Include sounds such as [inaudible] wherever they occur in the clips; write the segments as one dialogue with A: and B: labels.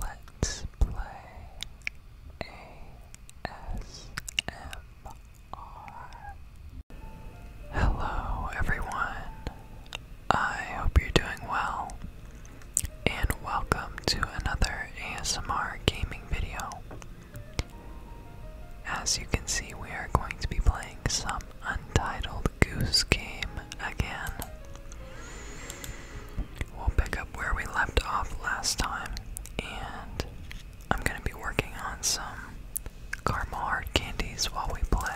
A: Let's play ASMR. Hello, everyone. I hope you're doing well, and welcome to another ASMR gaming video. As you can see, we are going to be playing some Untitled Goose Game again. We'll pick up where we left off last time, and I'm gonna be working on some caramel hard candies while we play.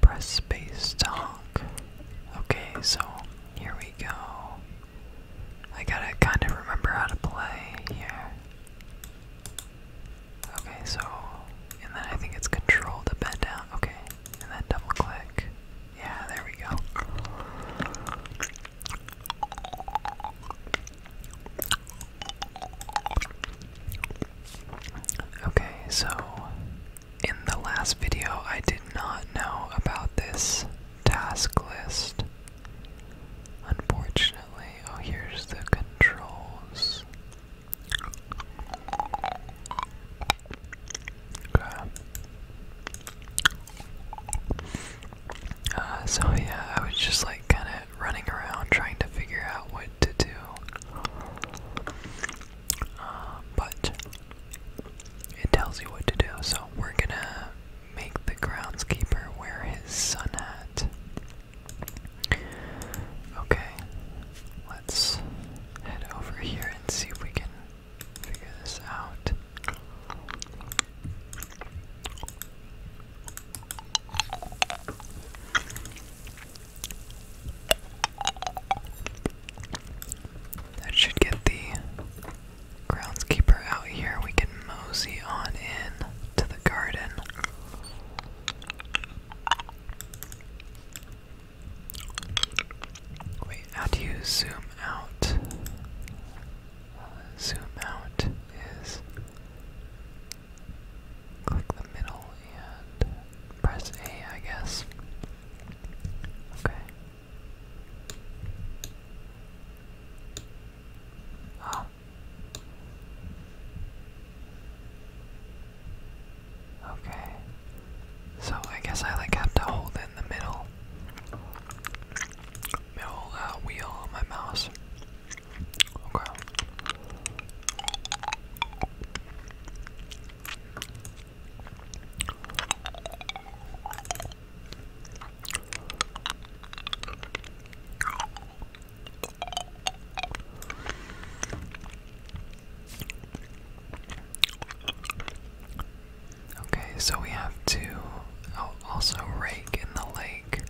A: Press space to Okay, so here we go. I gotta kind of remember how to play here. Okay, so. And then I think it's control to bend down. Okay, and then double click. Yeah, there we go. Okay, so in the last video, I did not know about this task list. Unfortunately, oh, here's the controls. Uh, so, yeah, I was just like kind of running around trying to figure out what to do. Um, but it tells you what to do, so we're gonna make the groundskeeper wear his sun hat. Okay, let's head over here and see if we can figure this out. That should get the groundskeeper out here. We can mosey on in to the garden. Wait, how do you zoom out? zoom out is click the middle and press A, I guess. Okay. Oh. Okay. So I guess I like have to hold in the middle, middle uh, wheel on my mouse. Okay. Okay, so we have to also rake in the lake.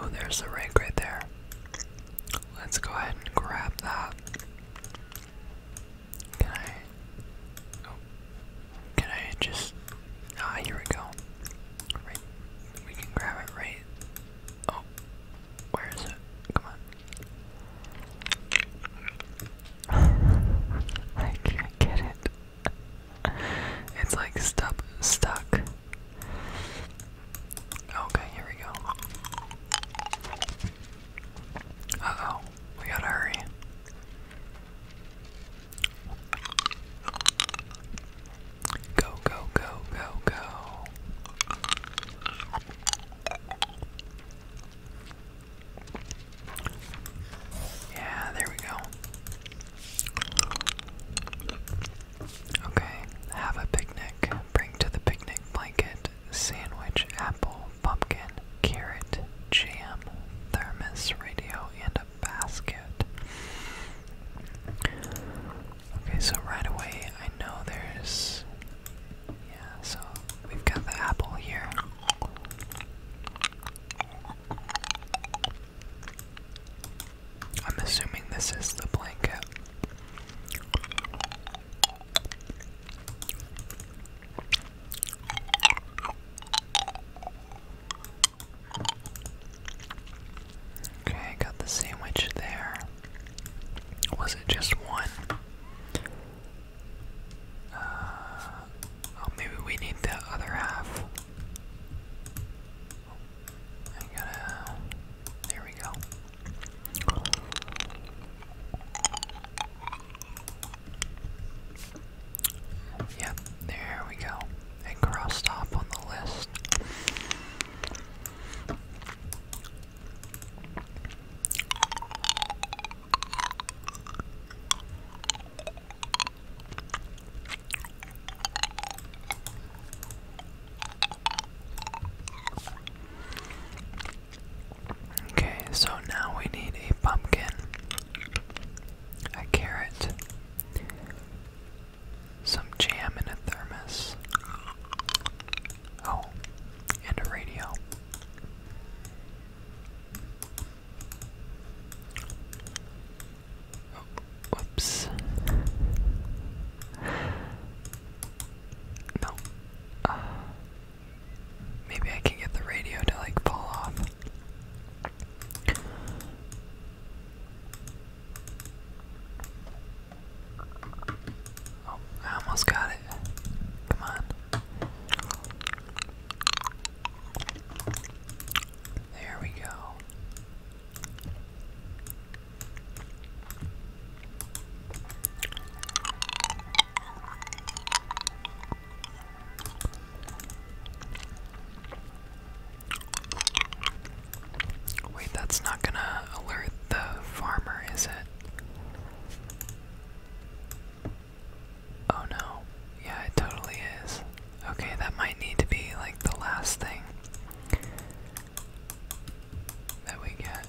A: Oh, there's a rake right there. Let's go ahead and grab that. Can I? Oh, can I just? Ah, here we go. we can grab it right. Oh, where is it? Come on. [laughs] I can't get it. It's like stuck, stuck. Okay, here we go. Uh oh, we gotta hurry. Go, go, go, go, go. Yeah, there we go. Okay, have a picnic. Bring to the picnic blanket, sandwich, apple, pumpkin, carrot, jam, thermos, radio, and a basket. Okay, so right away I know there's. Yeah, so we've got the apple here. I'm assuming this is the blanket. Okay, I got the sandwich there. Was it just one? Uh, oh, maybe we need the other half. I gotta there we go. Yep, there we go. And crossed off on the list. Okay, so now we need a pumpkin, a carrot, some jam in a thermos. Oh, and a radio. Oh, no. Uh, maybe I can get the radio to like fall off. Oh, I almost got it. Come on. There we go. Wait, that's not gonna alert the farmer, is it? Oh no. Yeah, it totally is. Okay, that might need to be like the last thing that we get.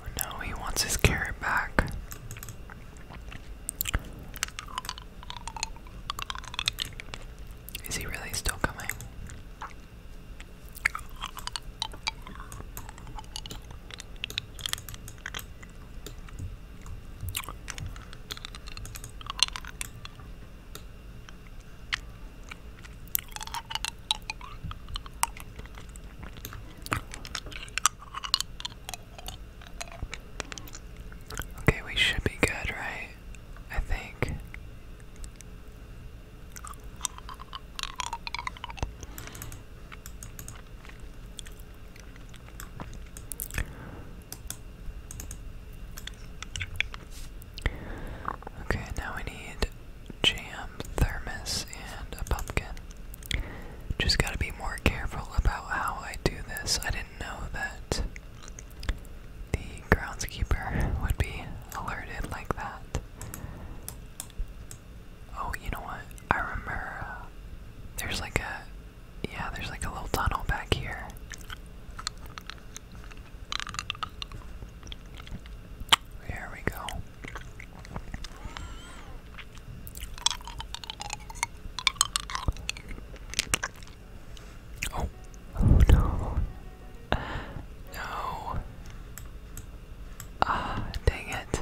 A: Oh, no, he wants his carrot back. Is he really still coming? Okay, we should be good, right? I think. Okay, now we need jam, thermos, and a pumpkin. Just gotta be more careful about how I do this. I didn't know that the groundskeeper would be alerted like that. Oh, you know what? I remember uh, there's like a yeah, there's like a little tunnel back here. There we go. Oh, oh no. [laughs] No. Ah, dang it.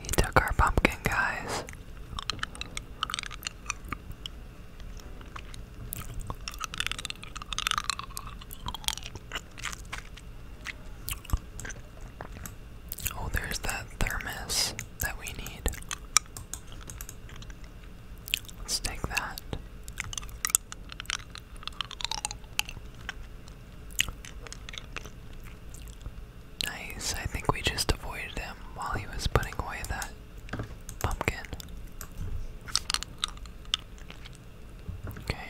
A: He took our pumpkin, guys. Oh, there's that thermos that we need. Let's take that. Nice, I think we just avoided him while he was putting away that pumpkin. Okay.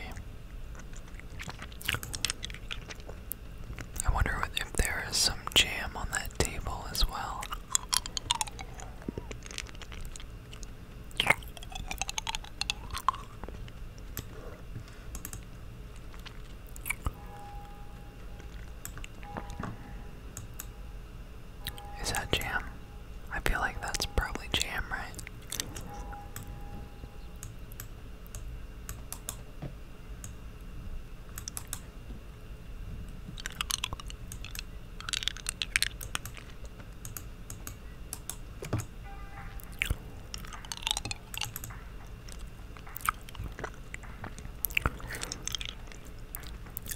A: I wonder if there is some jam on that table as well. Is that jam? I feel like that's probably jam, right?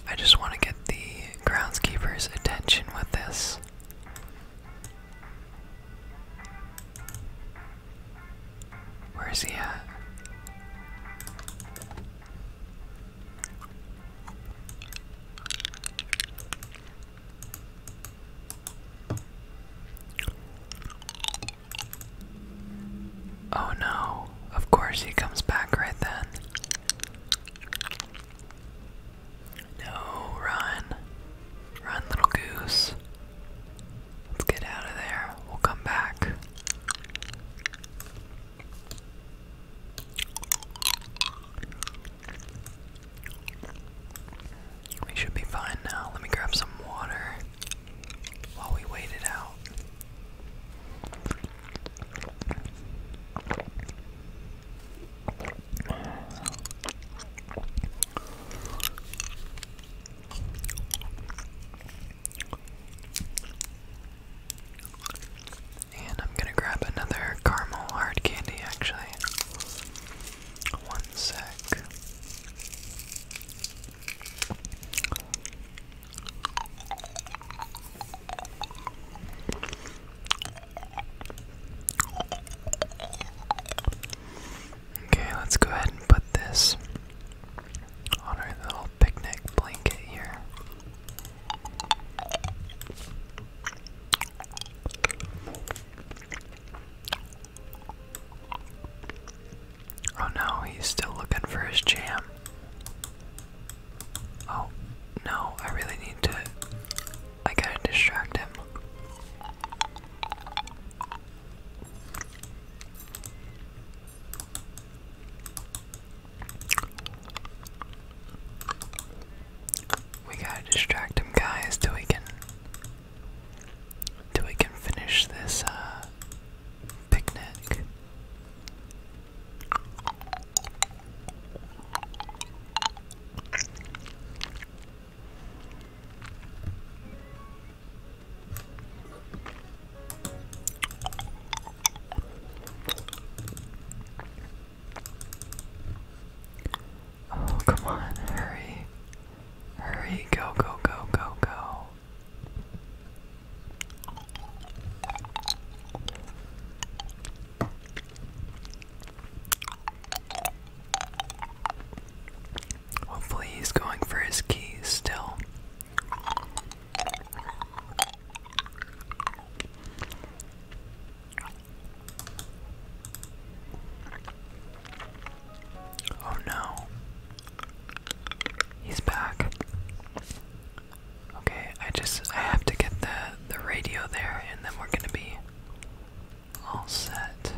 A: I just want to get the groundskeeper's attention with this. Where is he at? Oh no, of course he comes back right then. No, run. Run, little goose. Let's get out of there. We'll come back. We should be fine now. Let me grab some water while we wait it out. And I'm gonna grab another caramel hard candy actually. One sec. Okay, let's go ahead and put this on our little picnic blanket here. Oh no, he's still looking for his jam. Oh no, I really need to. I gotta distract him. We gotta distract him, guys, till we can till we can finish this uh, picnic. Oh, come on, hurry. Hurry, go, go, go, go, go. Hopefully, he's going for his keys still. Oh no. He's back. Okay, I just I have to get the the radio there and then we're gonna be all set.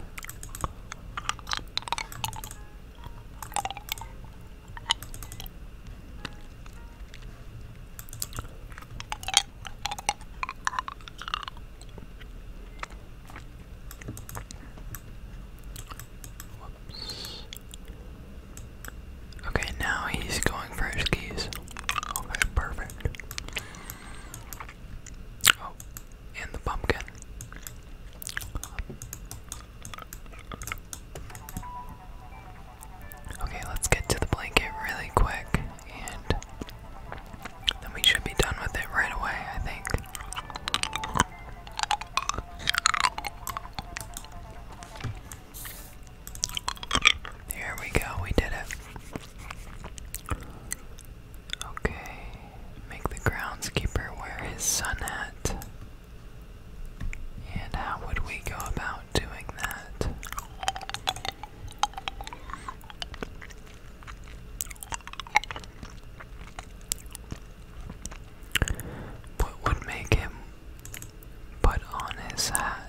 A: Okay, now he's going for his keys. Okay, perfect. Oh, and the pumpkin. Okay, let's get to the blanket really quick, and then we should be done with it right away, I think. Here we go, we did it. Okay, make the groundskeeper wear his sun hat. And how would we go about doing that? What would make him put on his hat?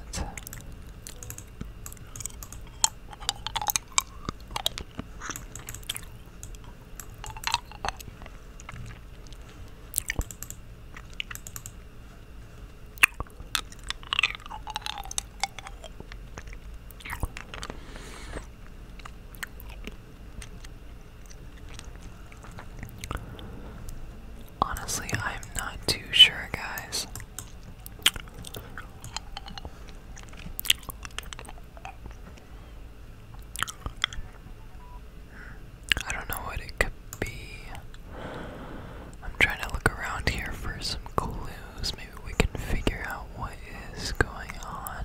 A: Honestly, I'm not too sure, guys. I don't know what it could be. I'm trying to look around here for some clues. Maybe we can figure out what is going on.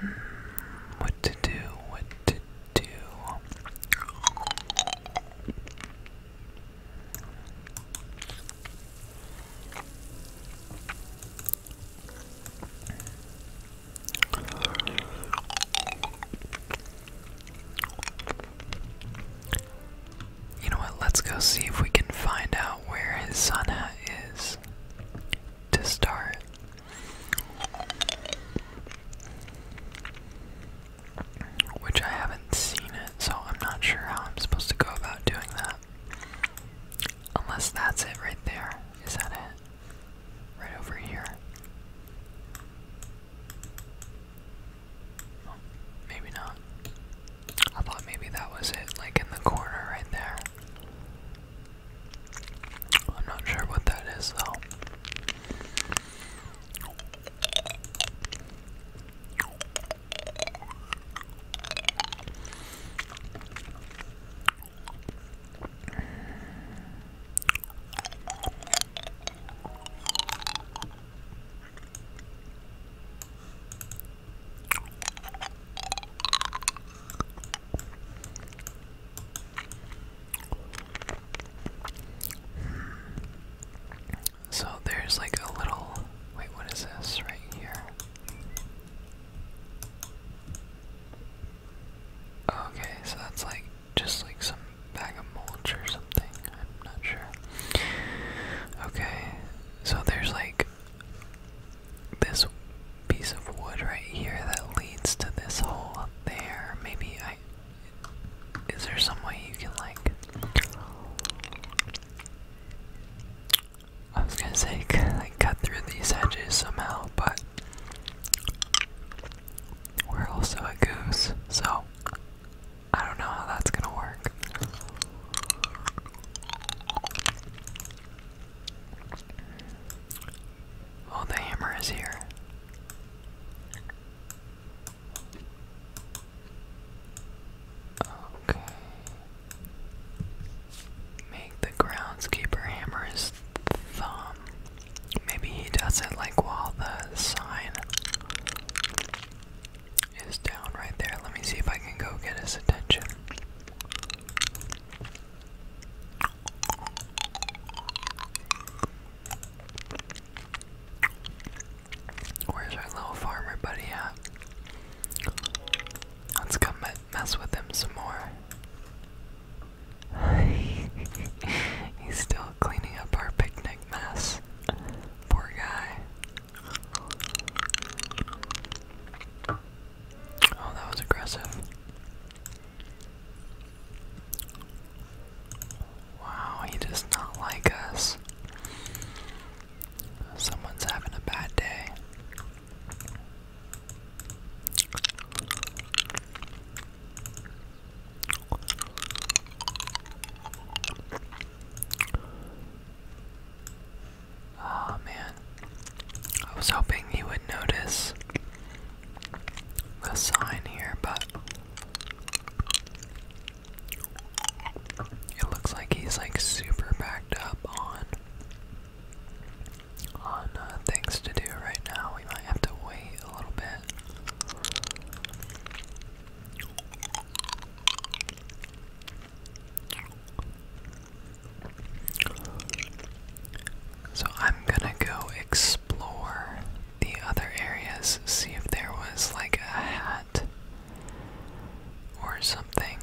A: Hmm, what to do? What to do? You know what? Let's go see if we can find out where his sun is to start. Which I haven't seen it, so I'm not sure how I'm supposed to go about doing that. Unless that's it right there. Is that it? Right over here maybe not. I thought maybe that was it, like in the corner right there. I'm not sure what that is though. So there's like a little. Wait, what is this right here? Okay, so that's like just like some bag of mulch or something. I'm not sure. Okay, so there's like this piece of wood right here that leads to this hole up there. Maybe I. Is there some way you can like. I was gonna say, [laughs] like, cut through these edges somehow, but we're also a goose, so I don't know how that's gonna work. Oh, the hammer is here. Okay. Make the groundskeeper hammer his thumb. Maybe he does it like while sign is down right there. Let me see if I can go get his attention. Where's our little farmer buddy at? Let's come mess with him some more. [laughs] He's still cleaning up our picnic mess. Poor guy. Oh, that was aggressive. Wow, he does not like us. Someone's having a bad day. Oh man. I was hoping you would notice the sign here, but it looks like he's like super backed up on on uh, things to do right now. We might have to wait a little bit. So I'm gonna go explore the other areas, see if there was like a hat or something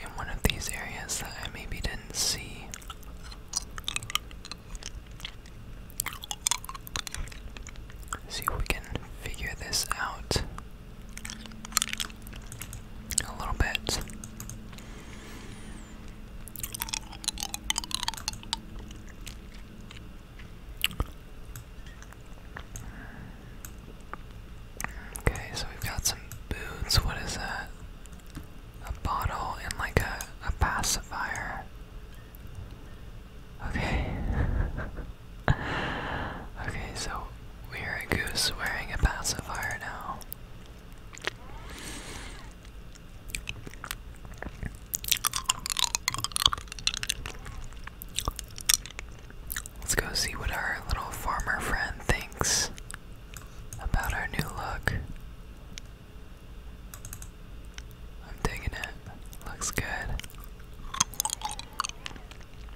A: in one of these areas that I maybe didn't see. See if we can figure this out a little bit. Okay, so we've got some boots. What is that? A bottle and like a, a pacifier. Okay. [laughs] okay, so we're a goose wearing a pacifier now. Let's go see what our little farmer friend thinks about our new look. I'm digging it. Looks good.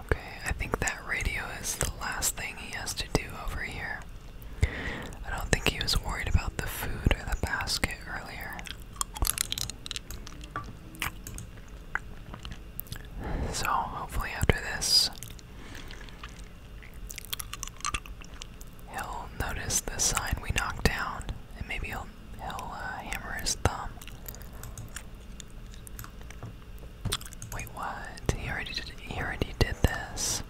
A: Okay, I think that radio is the last thing he has to do over here. I don't think he was worried about the food or the basket earlier. So, hopefully, after this, He'll notice the sign we knocked down, and maybe he'll, he'll uh, hammer his thumb. Wait, what? He already he already did this.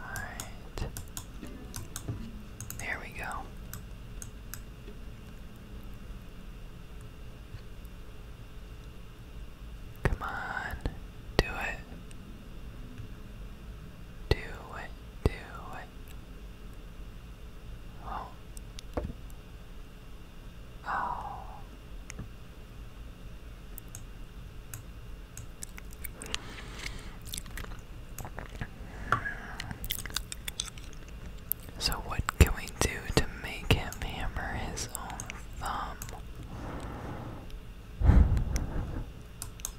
A: Alright. There we go. Come on, do it. Do it, do it. Oh. Oh. So what can we do to make him hammer his own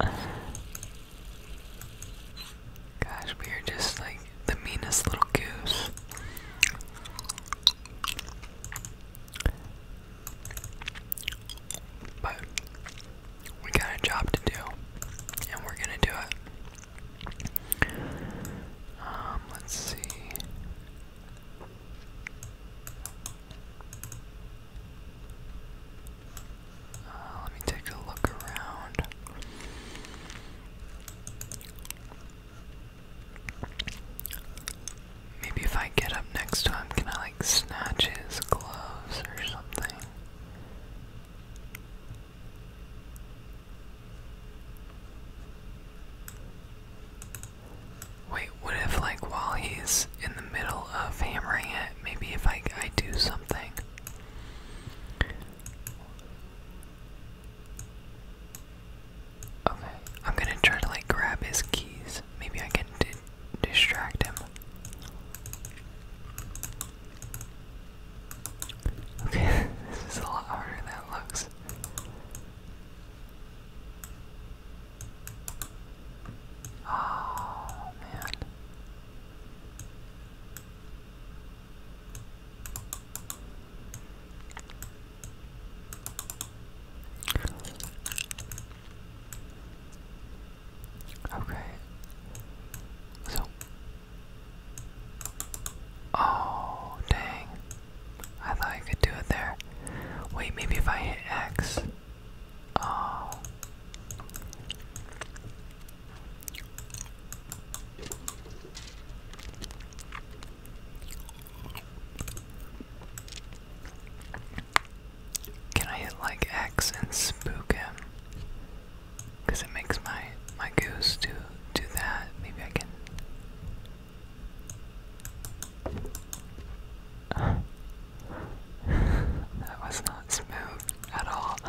A: thumb? Gosh, we are just like the meanest little goose. But we got a job to do, and we're gonna do it. Um, let's see. Uh, let me take a look around. Maybe if I get up next to him, can I like snatch his gloves or something? Wait, what if, like, while he's in the middle of hammering it, maybe if I, I do something? Okay, I'm gonna try to, like, grab his keys. Maybe I can distract him. Okay, [laughs] this is a lot harder than it looks. Oh, man. Okay. So. Oh, dang. I thought I could do it there. Wait, maybe if I hit X. Oh. Can I hit like X and spook him? Cause it makes my my goose do do that. Maybe I can [laughs] that was not smooth at all. [sighs]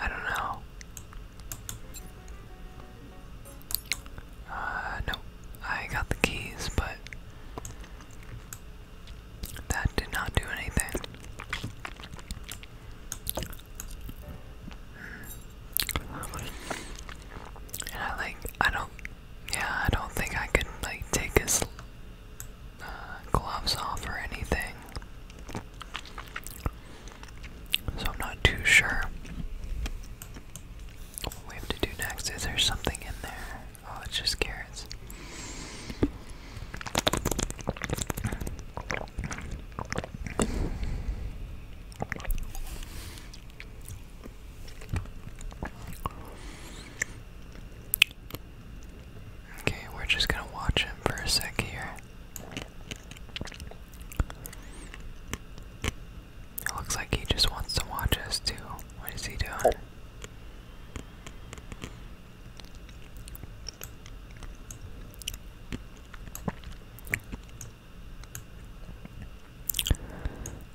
A: I don't know. Uh, no, I got the keys, but that did not do anything. And I like, I don't, yeah, I don't think I could like take his uh, gloves off or anything. So I'm not too sure what we have to do next. Is there something in there? Oh, it's just carrots. Okay, we're just gonna watch him for a sec here. It looks like he just wants to watch us too. What is he doing? Oh.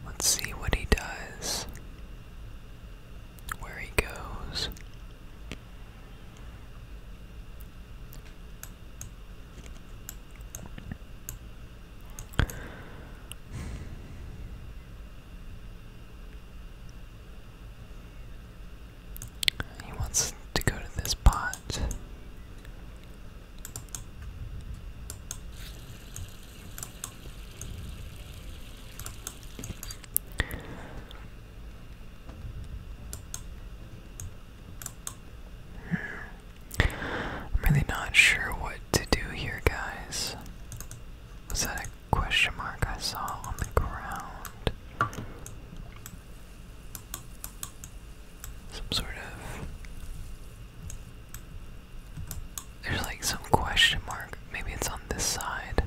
A: Let's see what he does. Where he goes. He wants to go to this pot. I'm really not sure what to do here, guys. Was that a question mark I saw on the ground? Some sort of. There's like some question mark. Maybe it's on this side.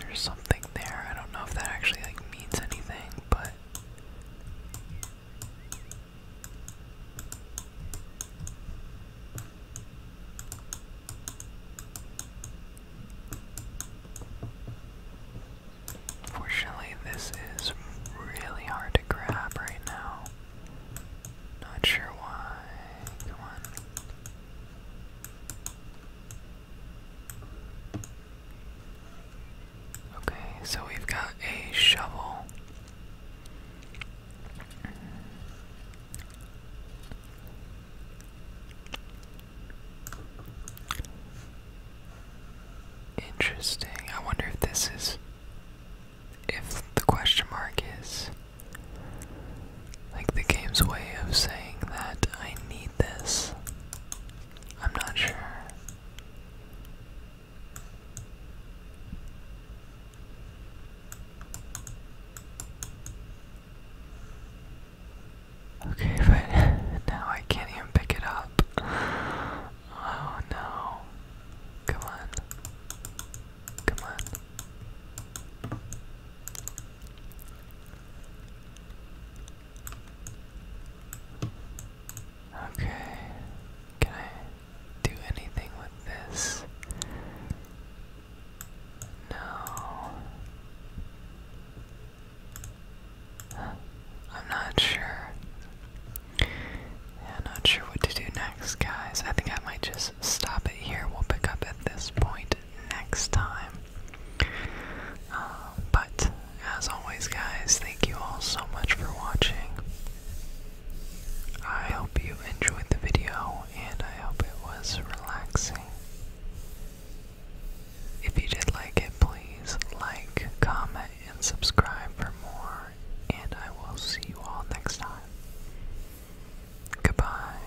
A: There's something there. I don't know if that actually like means anything, but not. Fortunately, this is really hard to grab right now. Not sure why. Come on. Okay, so we've got a shovel. Interesting. I wonder if this is. If the question mark is. Like the game's way of saying that I need this. I'm not sure. Okay, [laughs] but now I can't even pick it up. Oh no. Come on. Come on. Okay, can I do anything with this? No. I'm not sure. Yeah, not sure what to do next, guys. I think I might just stop it here. We'll pick up at this point next time. Um, but as always, guys, thank you all so much for watching. I hope you enjoyed the video and I hope it was relaxing. If you did like it, please like, comment, and subscribe for more, and I will see you all next time. Goodbye.